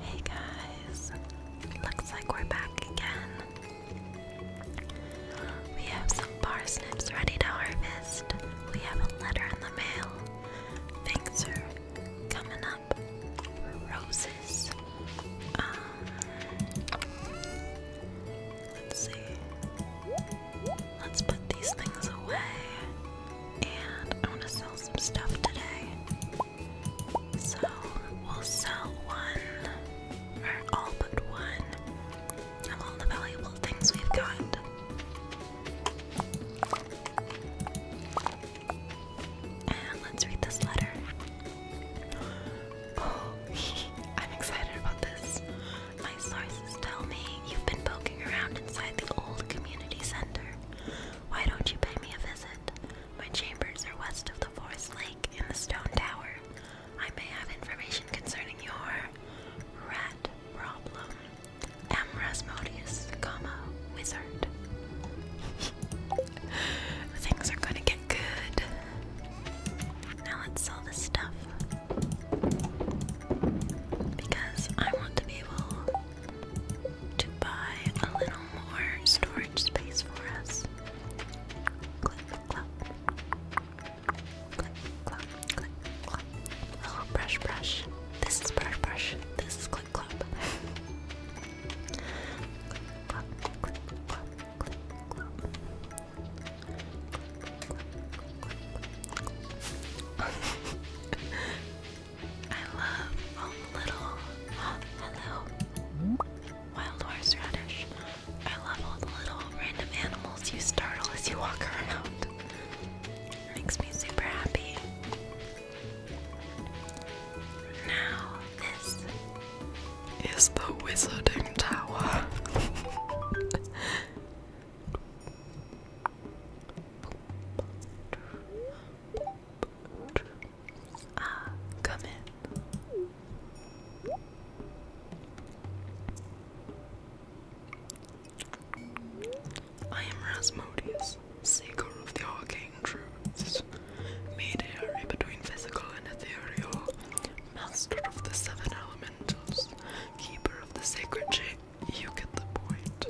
Hey guys, looks like we're back again. We have some parsnips ready to harvest. We have a letter in the mail. Things are coming up. Roses. Um, let's see. Let's put these things away. And I want to sell some stuff today. So we'll sell one, or all but one, of all the valuable things we've got. And let's read this letter. Oh, I'm excited about this. My sources tell me you've been poking around inside the old community center. Why don't you pay me a visit? My chambers are west of the forest lake in the stone tower. I may have information concerning your rat problem. M. comma, wizard. Things are gonna get good. Now let's sell this stuff. Because I want to be able to buy a little more storage space for us. Click, clop. Click, clop, click, clop. Oh, brush, brush. This is brush, brush. This is click, clop. click, clop, click, clop, click, clop. Click, click, click, click, click. I love all the little. hello. Wild horseradish. I love all the little random animals you startle as you walk around. It makes me super happy. Now, this is the Wizarding Tower. Ah, come in. I am Rasmodius, seeker of the arcane truths, mediator between physical and ethereal, master of the seven elementals, keeper of the sacred chain. You get the point.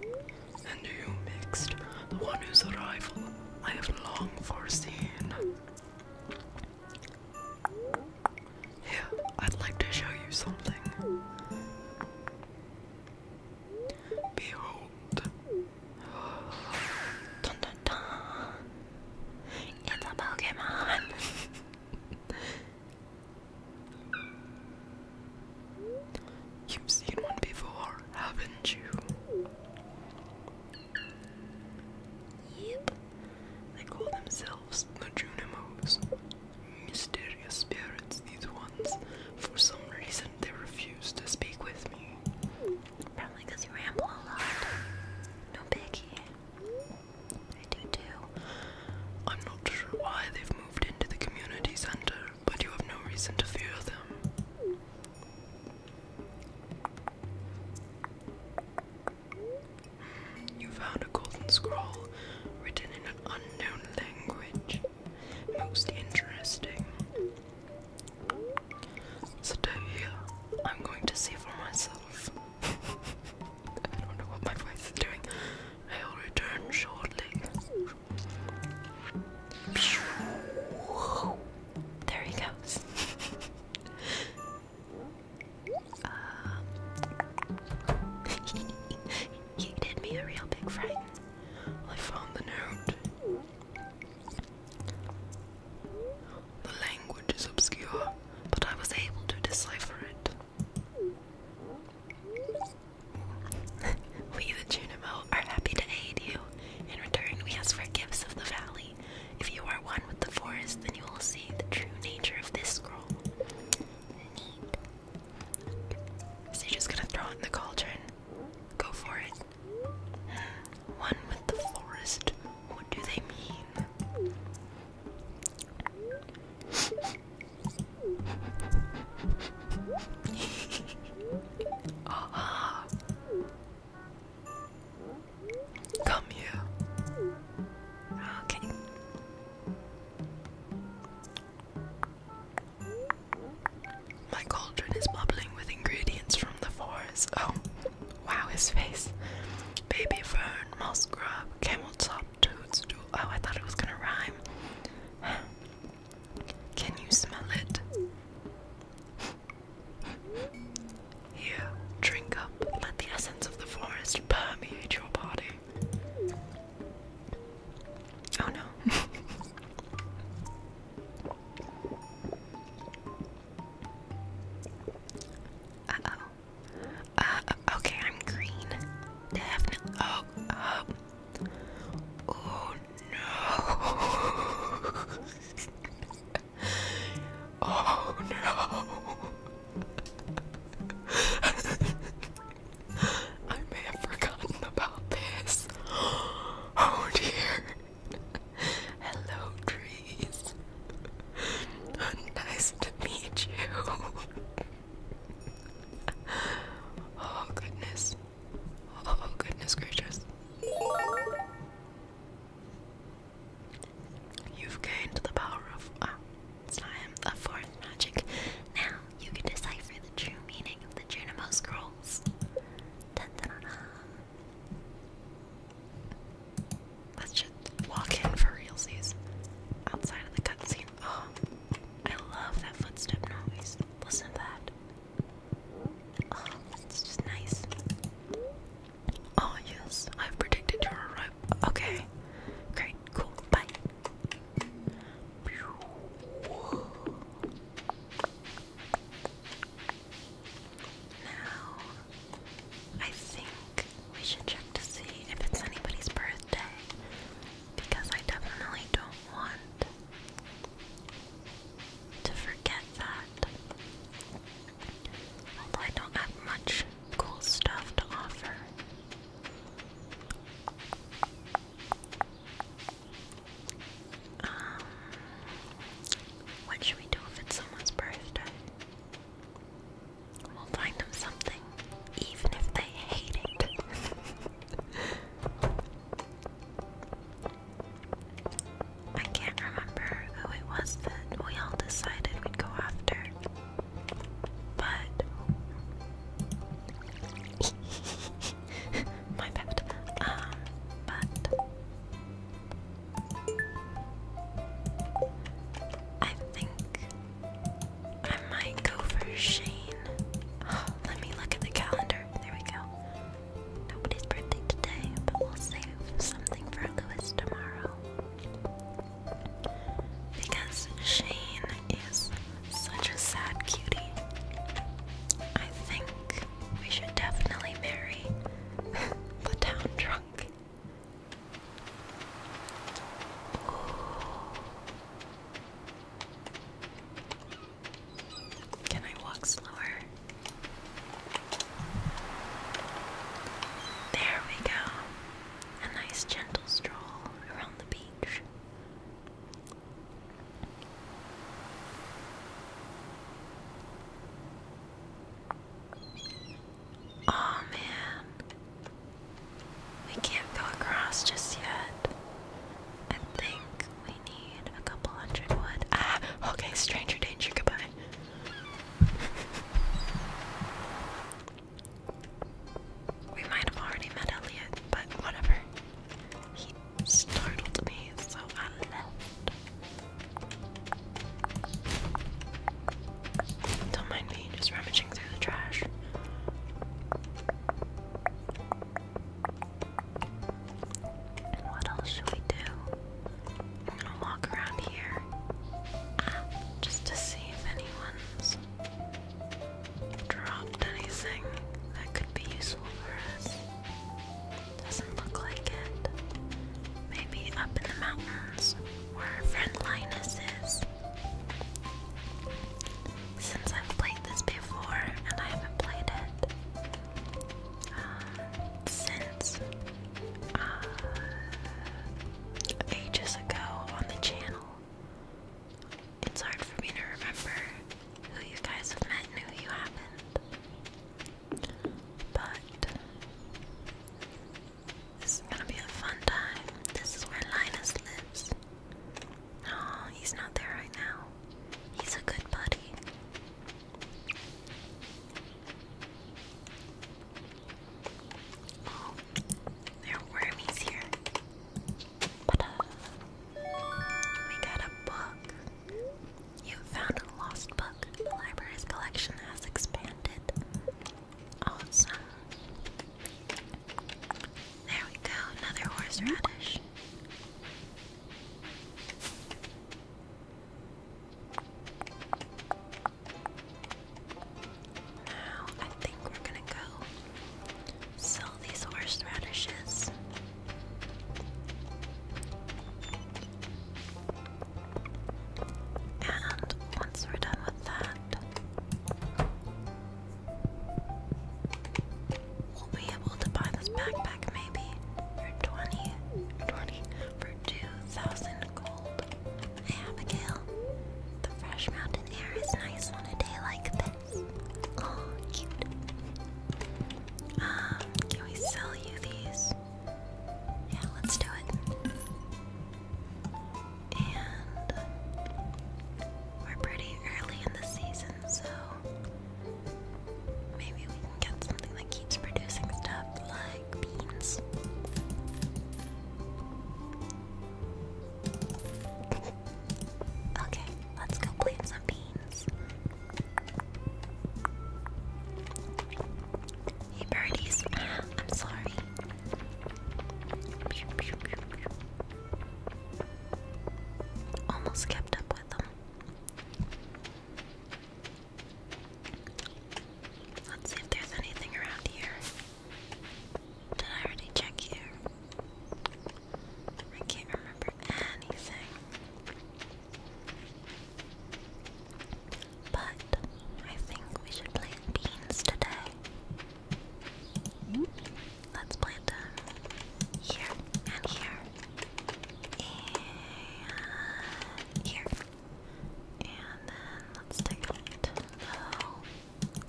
And you mixed the one whose arrival I have long foreseen. Here, I'd like to show you something. Behold. Dun dun dun. It's a Pokemon. You've seen one before, haven't you? Yep. They call themselves the Junimos. Mysterious spirits, these ones. For some reason, they refuse to speak with me. Probably you ramble a lot. No biggie. I do too. I'm not sure why they've moved into the community center, but you have no reason to fear them. You found a golden scroll written in an unknown language. Most interesting. Stay here. I'm going to see for myself. I don't know what my voice is doing. I will return shortly. There he goes. you um, did me a real big fright. I found the note. The language is obscure, but I was able to decipher it. we, the Junimo, are happy to aid you. In return, we ask for gifts of the valley. If you are one with the forest, then you will see the true nature of this scroll. Neat. So just gonna throw it in the cauldron. Go for it. One with the forest. What do they mean? Come here. Okay. My cauldron is bubbling with ingredients from the forest. Oh, wow, his face. Baby fern, moss grub, camel toe, stop Oh, I thought it was gonna rhyme. Can you smell it? Here, drink up. Let the essence of the forest permeate your body. Oh no. uh oh. Uh, okay, I'm green. Definitely. Oh, um, oh no. oh no. I may have forgotten about this. Oh dear. Hello, trees. nice to meet you. oh goodness. Oh goodness gracious. You've gained the power of ah, it's fourth magic. Now you can decipher the true meaning of the Junimo scrolls. Let's just walk in for real, realsies. Outside of the cutscene. Oh, I love that footstep noise. Listen to that. Oh, it's just nice. Oh, yes, i predicted your arrival. Okay, great, cool, bye. Now I think we should check to see if it's anybody's birthday because I definitely don't want to forget that. Although I don't have much cool stuff to offer. Um, what should we do if it's someone's birthday? We'll find them something, even if they hate it. I can't remember who it was that we all decided we'd go after, but my bad. Um, but I think I might go for Shane. let me look at the calendar. There we go. Nobody's birthday today, but we'll save something for Lewis tomorrow. Because Shane is such a sad cutie. I think we should definitely marry the town drunk. Can I walk slower? There we go. A nice gentle stroll around the beach. Oh man. We can't go across just yet. I think we need a couple hundred wood. Ah, okay, stranger danger, goodbye. we might have already met Elliot, but whatever. He startled me, so I left. Don't mind me just rummaging through the trash. what else should we do? I'm gonna walk around here just to see if anyone's dropped anything that could be useful for us. Doesn't look like it. Maybe up in the mountains where friend Linus is. Since I've played this before and I haven't played it uh, since uh, ages ago on the channel, it's hard for me to remember who you guys have met and who you haven't. But this is gonna be a fun time. This is where Linus lives. oh, he's not there right now. He's a good buddy. Oh, there are wormies here. Uh, we got a book. You found a lost book. The library's collection has expanded. Awesome. There we go, another horseradish. Now I think we're gonna go sell these horseradishes. And once we're done with that, we'll be able to buy this backpack maybe for 20, for 2,000 gold. Abigail, the fresh mountain air is nice on a day like this. Oh, cute. Um, can we sell you these? Yeah, let's do it. And we're pretty early in the season, so maybe we can get something that keeps producing stuff like beans. Okay, let's go plant some beans. Hey birdies, I'm sorry. Almost kept up with them. Let's see if there's anything around here. Did I already check here? I can't remember anything. But I think we should plant beans today. Mm-hmm. Let's plant them here and here and here. And then let's take it low.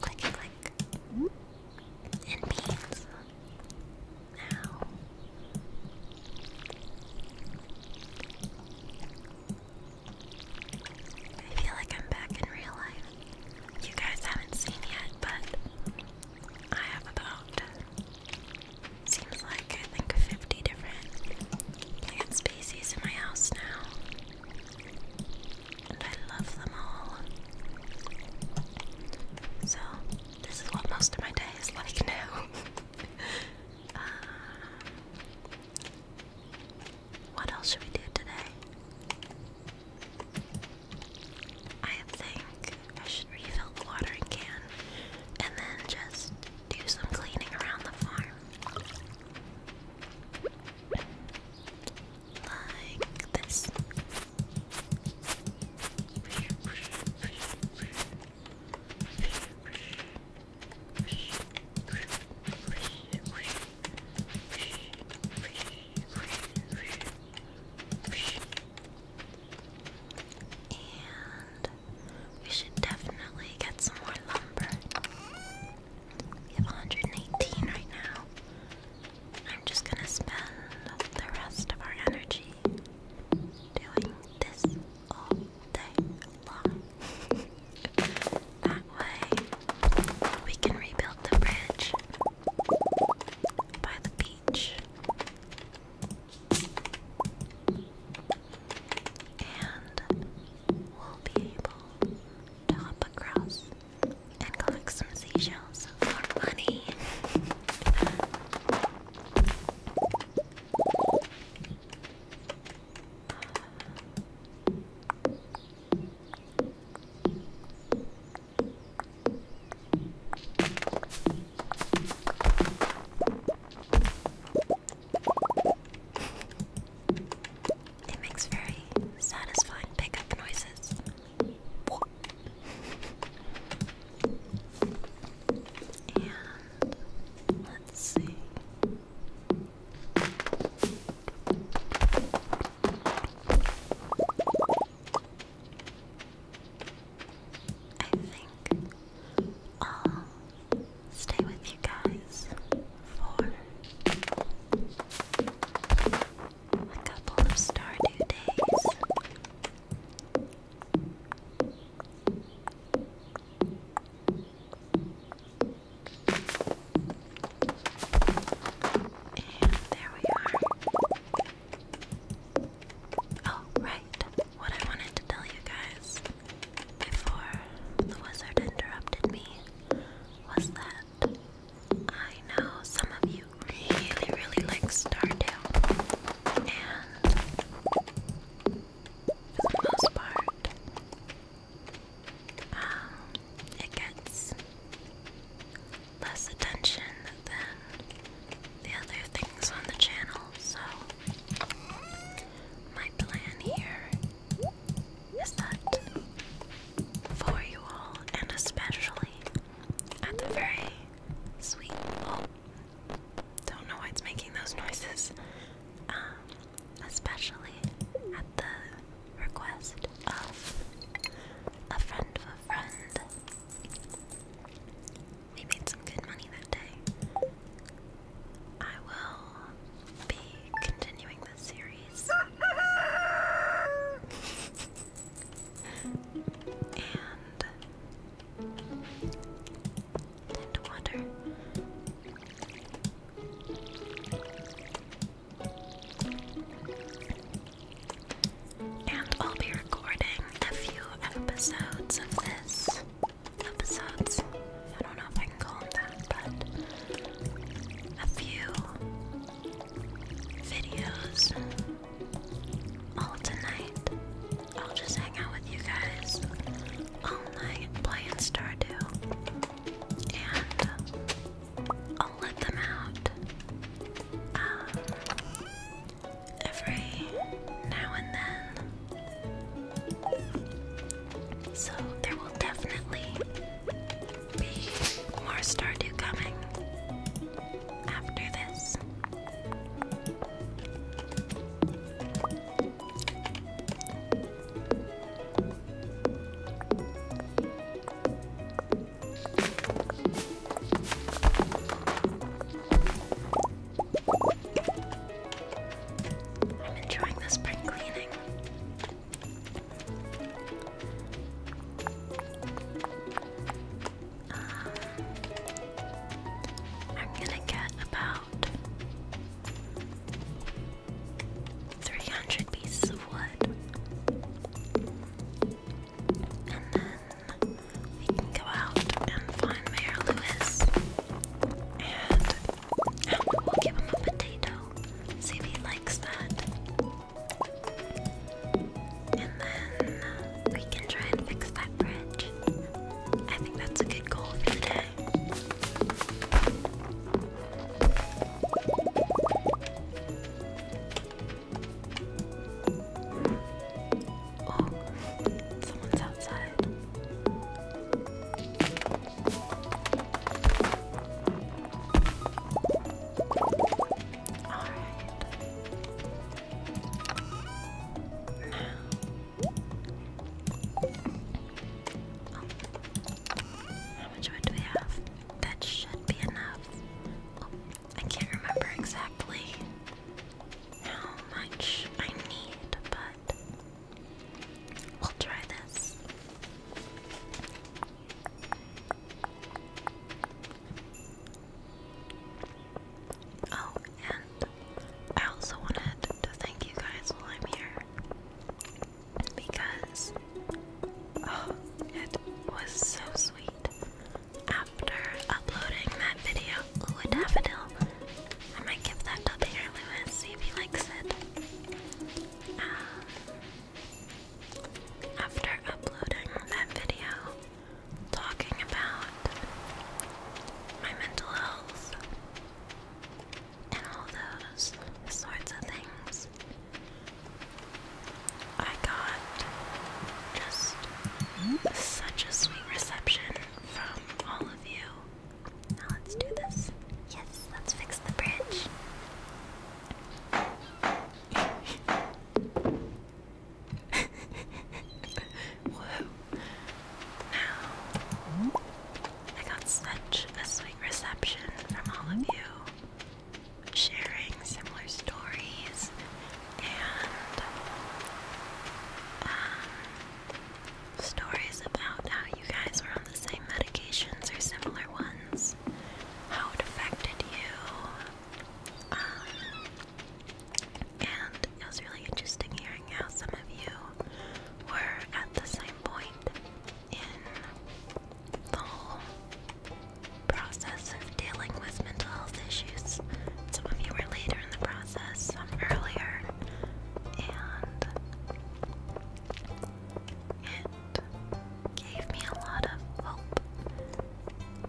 Click, click. And mm-hmm. beans. Now, I feel like I'm back in real life. You guys haven't seen yet, but I have about seems like I think 50 different plant species in my house now. And I love them all. So, this is what most of my day like now. Um, what else should we do today? I think I should refill the watering can and then just do some cleaning around the farm. Like this. And we should definitely get some more lumber. We have 118 right now. I'm just gonna spend the rest of our energy doing this all day long. that way, we can rebuild the bridge by the beach. And we'll be able to hop across and collect some seashells for money. It makes very satisfying pickup noises. And Let's see. I think I'll stay with you guys for a couple of Stardew days. And there we are. Oh, right. What I wanted to tell you guys before the wizard interrupted me was that I know some of you really, really like Stardew. And for the most part. Um, it gets less attention than the other things on the channel, so my plan here is that for you all, and especially at the very sweet, oh, don't know why it's making those noises. Um, especially at the request of a friend of a friend. We made some good money that day. I will be continuing this series. and Tend water. And I'll be recording a few episodes of this. Episodes. I don't know if I can call them that, but a few videos all tonight. I'll just hang out with you guys all night playing Stardew. And I'll let them out um, every now and then. So there will definitely be more Stardew coming after this. I'm enjoying the spring cleaning. I'm gonna get about 300 pieces of wood. And then we can go out and find Mayor Lewis. and we'll give him a potato. See if he likes that. And then uh, we can try and fix that bridge. I think that's a good goal for today. Oh, someone's outside. How much wood do we have? That should be enough. Oh, I can't remember exactly how much I need, but we'll try this. Oh, and I also wanted to thank you guys while I'm here because oh, it was so sweet. After uploading that video, ooh, daffodil. I might give that to Peter Lewis, see if he likes it. Um, after uploading that video, talking about my mental health and all those sorts of things. I got just such a sweet reception from all of you. Now let's do this. Yes, let's fix the bridge. Now, I got such a sweet reception from all of you sharing similar stories and um, stories about how you guys were on the same medications or similar ones, how it affected you, um, and it was really interesting hearing how some of you were at the same point in the whole process of dealing with mental health issues. Some of you were later in the process, some earlier, and it gave me a lot of hope.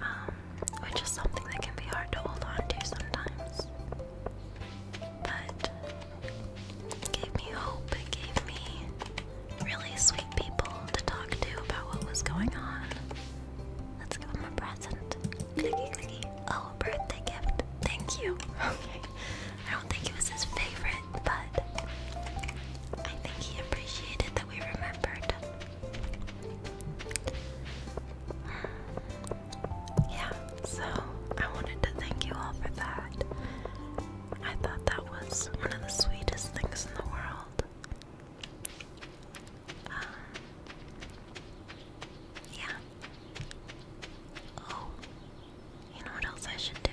Um, which is something that can be hard to hold on to sometimes. But gave me hope, it gave me really sweet people to talk to about what was going on. Let's give him a present. Oh, birthday gift. Thank you. Okay. I don't think it was his favorite, but I think he appreciated that we remembered. Yeah, so I wanted to thank you all for that. I thought that was one of the sweetest things in the world. Um, yeah. Oh, you know what else I should do?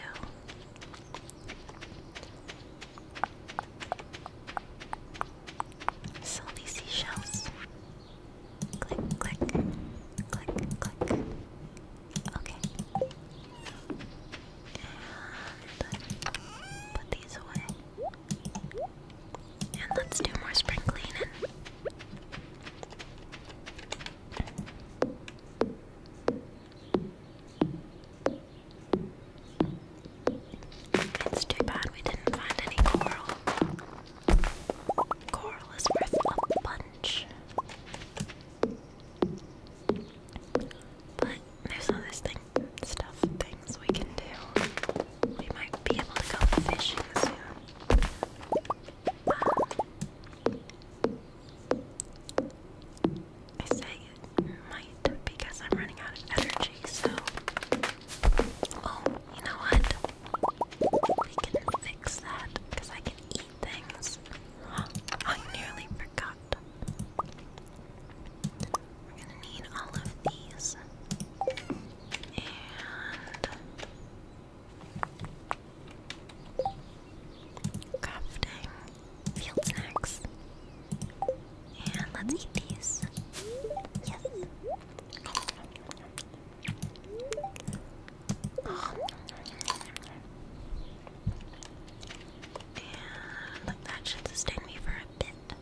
Sell these seashells. Click, click, click, click. Okay. And put these away. And let's do more spring cleaning. It's too bad we didn't find any coral. Coral is worth a bunch. But there's all this stuff, things we can do. We might be able to go fishing soon. Um, I say it might because I'm running out of energy, so. Oh, you know what? We can fix that because I can eat things. I nearly forgot. We're gonna need all of these. And. Crafting field snacks. And let's eat these. Yes. And that should sustain me for a bit.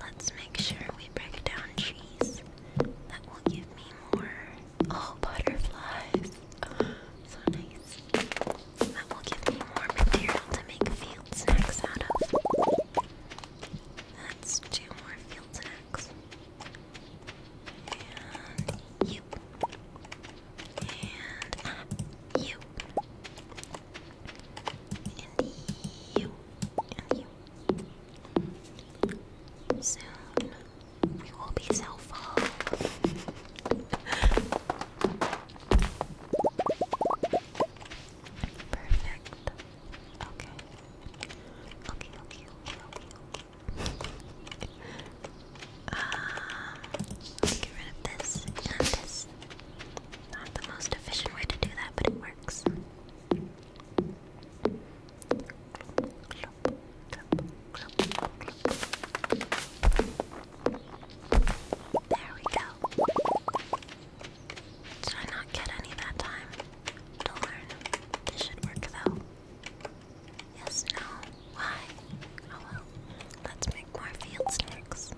Let's make sure we break down trees. That will give me more. Oh, butterflies. So nice. That will give me more material to make field snacks out of. That's two more field snacks. And you. And uh, you. And you. And you. Soon we will be so Perfect. Okay. Okay, okay, okay, okay. let's get rid of this this. Not the most efficient way to do that, but it works. There we go. Did not get any that time? Darn. This should work though. Yes, no. Why? Oh well. Let's make more field snacks.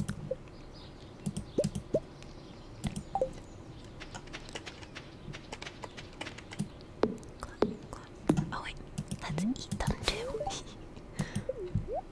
Oh wait, let's eat them too.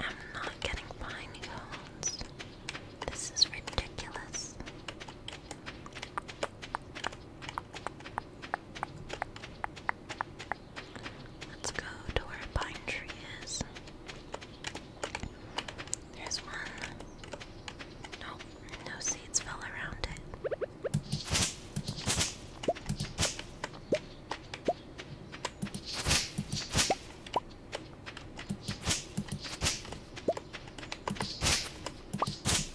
I'm not getting pine cones. This is ridiculous. Let's go to where a pine tree is. There's one. Nope, no seeds fell around it.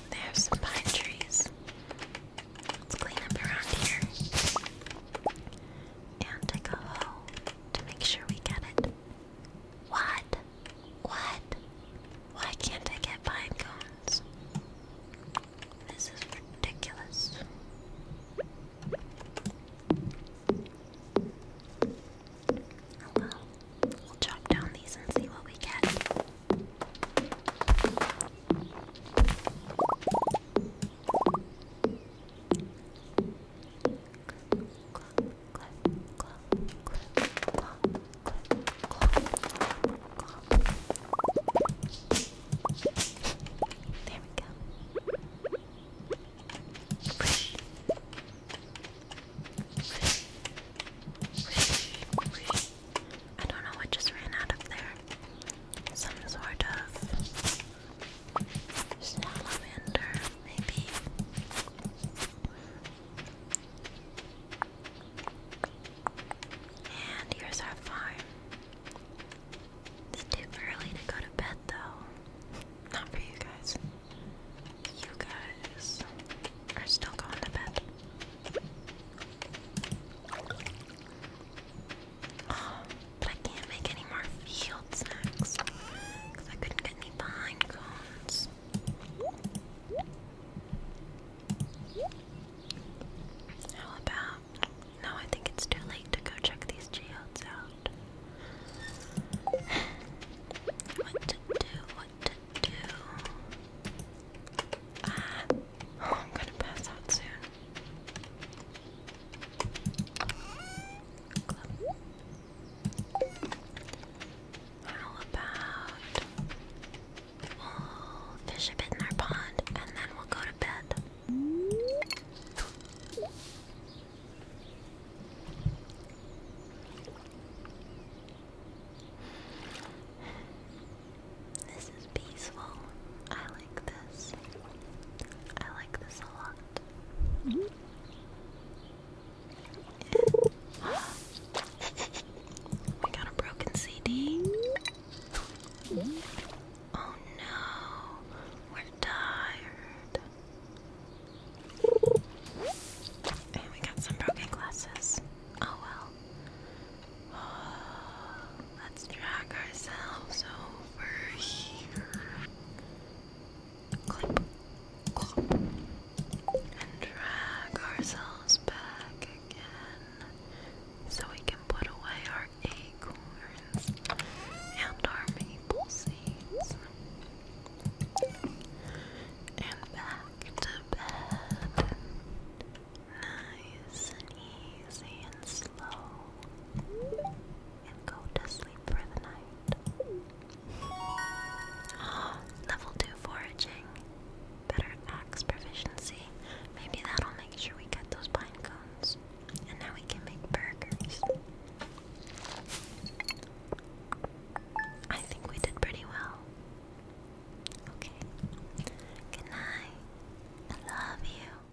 There's some pine trees. Let's clean up around here. And take a hoe to make sure we get it. What? What? Why can't I get pine This is ridiculous. Hello. We'll chop down these and see what we get. There we go. I don't know what just ran out of there. Some sort of salamander, maybe. And here's our farm. It's too early to go to bed, though. Not for you guys. You guys are still going to bed. but I can't make any more field snacks because I couldn't get any behind cones. How about no, I think it's too late to go check these geodes out. What to do? What to do? Ah, oh, I'm gonna pass out soon. How about we fish a bit in our pond and then we'll go to bed. This is peaceful. I like this. I like this a lot. we got a broken CD. Mm -hmm. Oh no, we're tired. And we got some broken glasses. Oh well. let's drag ourselves over here. Clip, clip, and drag ourselves back again so we can put away our acorns and our maple seeds. And back to bed. Nice and easy and slow. And go to sleep for the night. level 2 foraging. Better axe proficiency. Maybe that'll make sure we get those pine cones. And now we can make burgers. I think we did pretty well. Okay. Good I love you.